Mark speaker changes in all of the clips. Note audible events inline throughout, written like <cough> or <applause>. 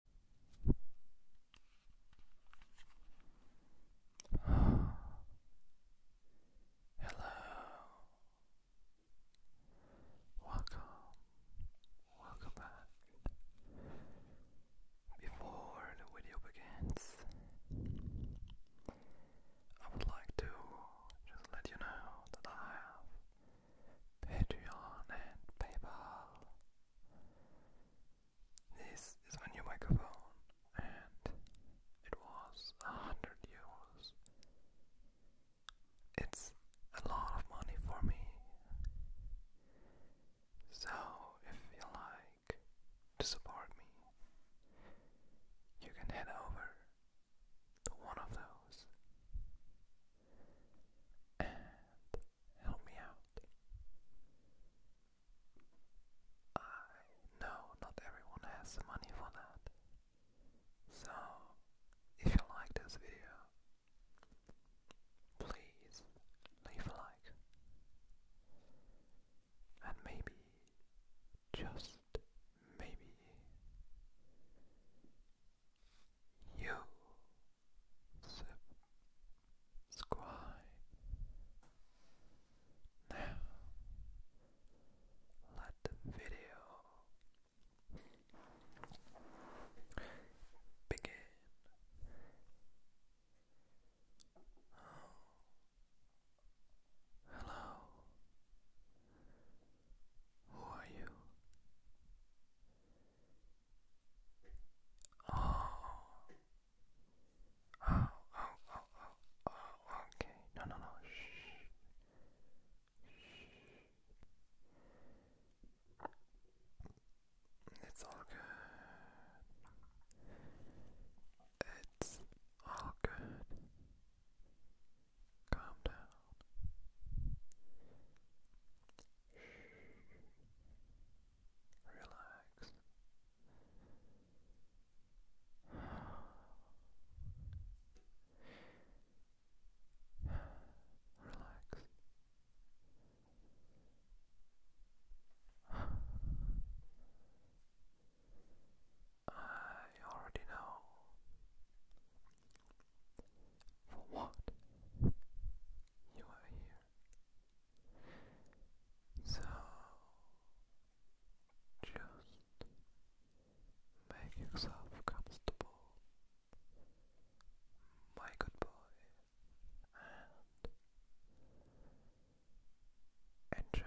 Speaker 1: <sighs> Hello, welcome, welcome back. Before the video begins, I would like to just let you know that I have Patreon and PayPal this is my new microphone, and it was a hundred euros. It's a lot of money for me. So, if you like to support me, you can head over to one of those Help me out. I know not everyone has the money for that. So, if you like this video, please leave a like. And maybe, just maybe, you zip, squat. Now, let the video begin. Oh. Hello. Who are you? Oh. Oh, oh, oh, oh, okay. No, no, no. Shh. It's all good. It's all good. Calm down. Shh. Relax. Relax. <sighs> I already know for what you are here. So just make yourself comfortable, my good boy, and enjoy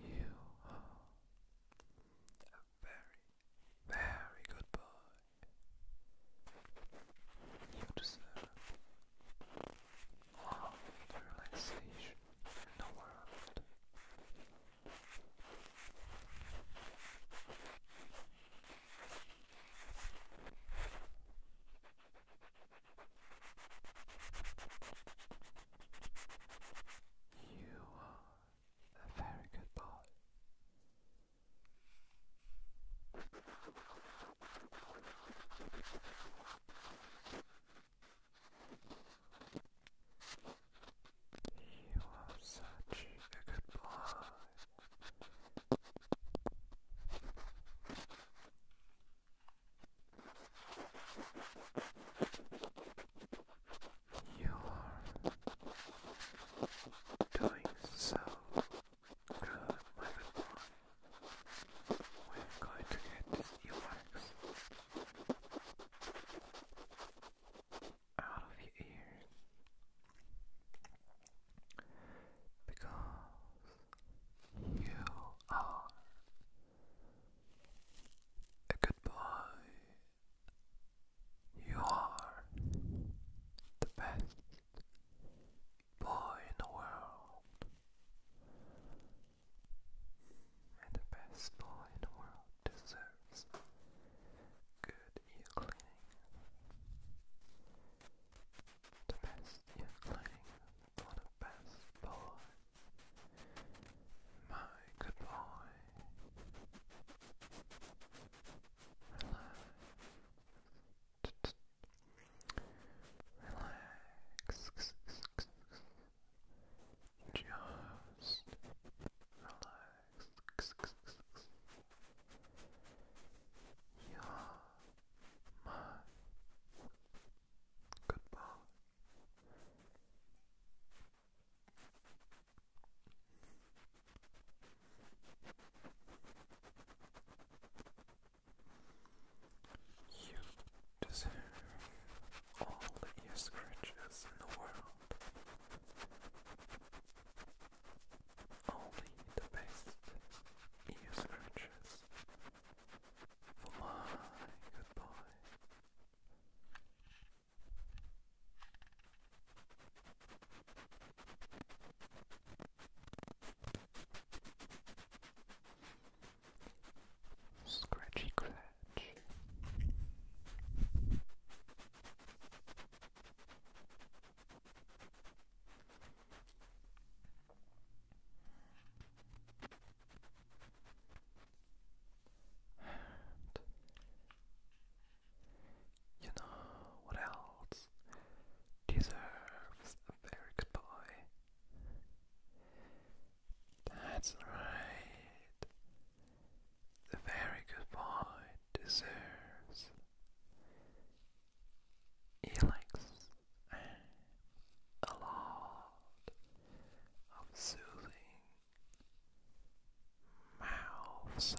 Speaker 1: You are a very, very good boy. You deserve all the relaxation in the world. You are a very good boy. You are such a good boy. You are doing so good, my good boy. We're going to get this earwax out of your ears because you are a good boy. You are the best boy in the world. And the best boy in the world deserves good ear cleaning. The best ear cleaning for best boy, my good boy. Relax. Relax. Just relax. You're my goodbye. You deserve all the ear scratches in the world. Only the best ear scratches for my goodbye. Scratchy Cratch you know what else deserves a very good boy? That's right. The very good boy deserves he likes a lot of soothing mouth sounds.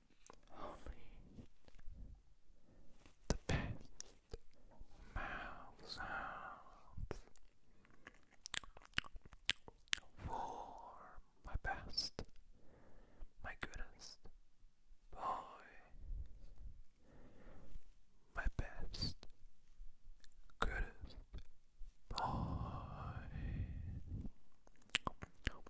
Speaker 1: only the best mouth sounds for my best, my goodest boy, my best, goodest boy.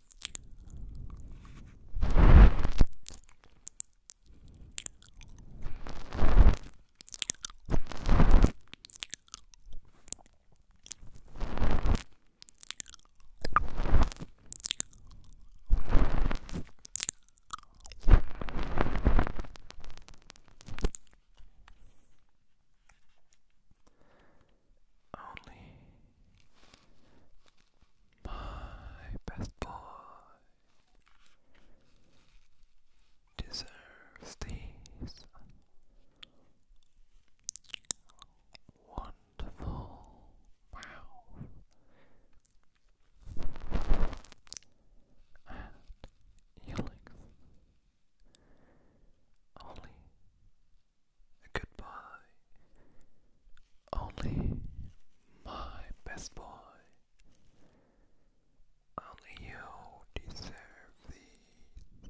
Speaker 1: Only my best boy deserves these wonderful wow and yelling only Goodbye, only my best boy. Only you deserve these.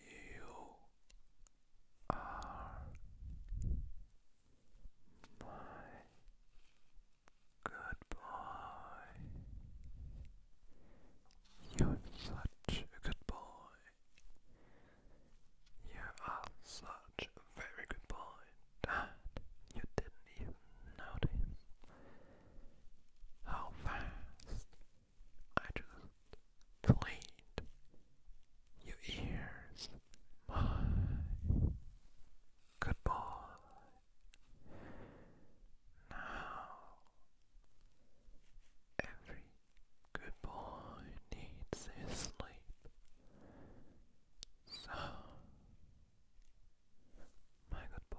Speaker 1: You are my good boy. You are such a good boy. You are such a very good boy that you didn't even notice how fast I just cleaned your ears. My good boy. Now, every good boy needs his sleep. So, my good boy,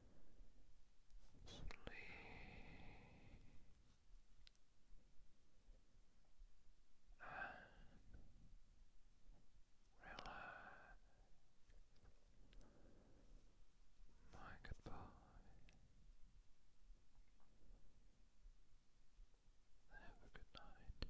Speaker 1: Sleep. And relax. My goodbye. Have a good night.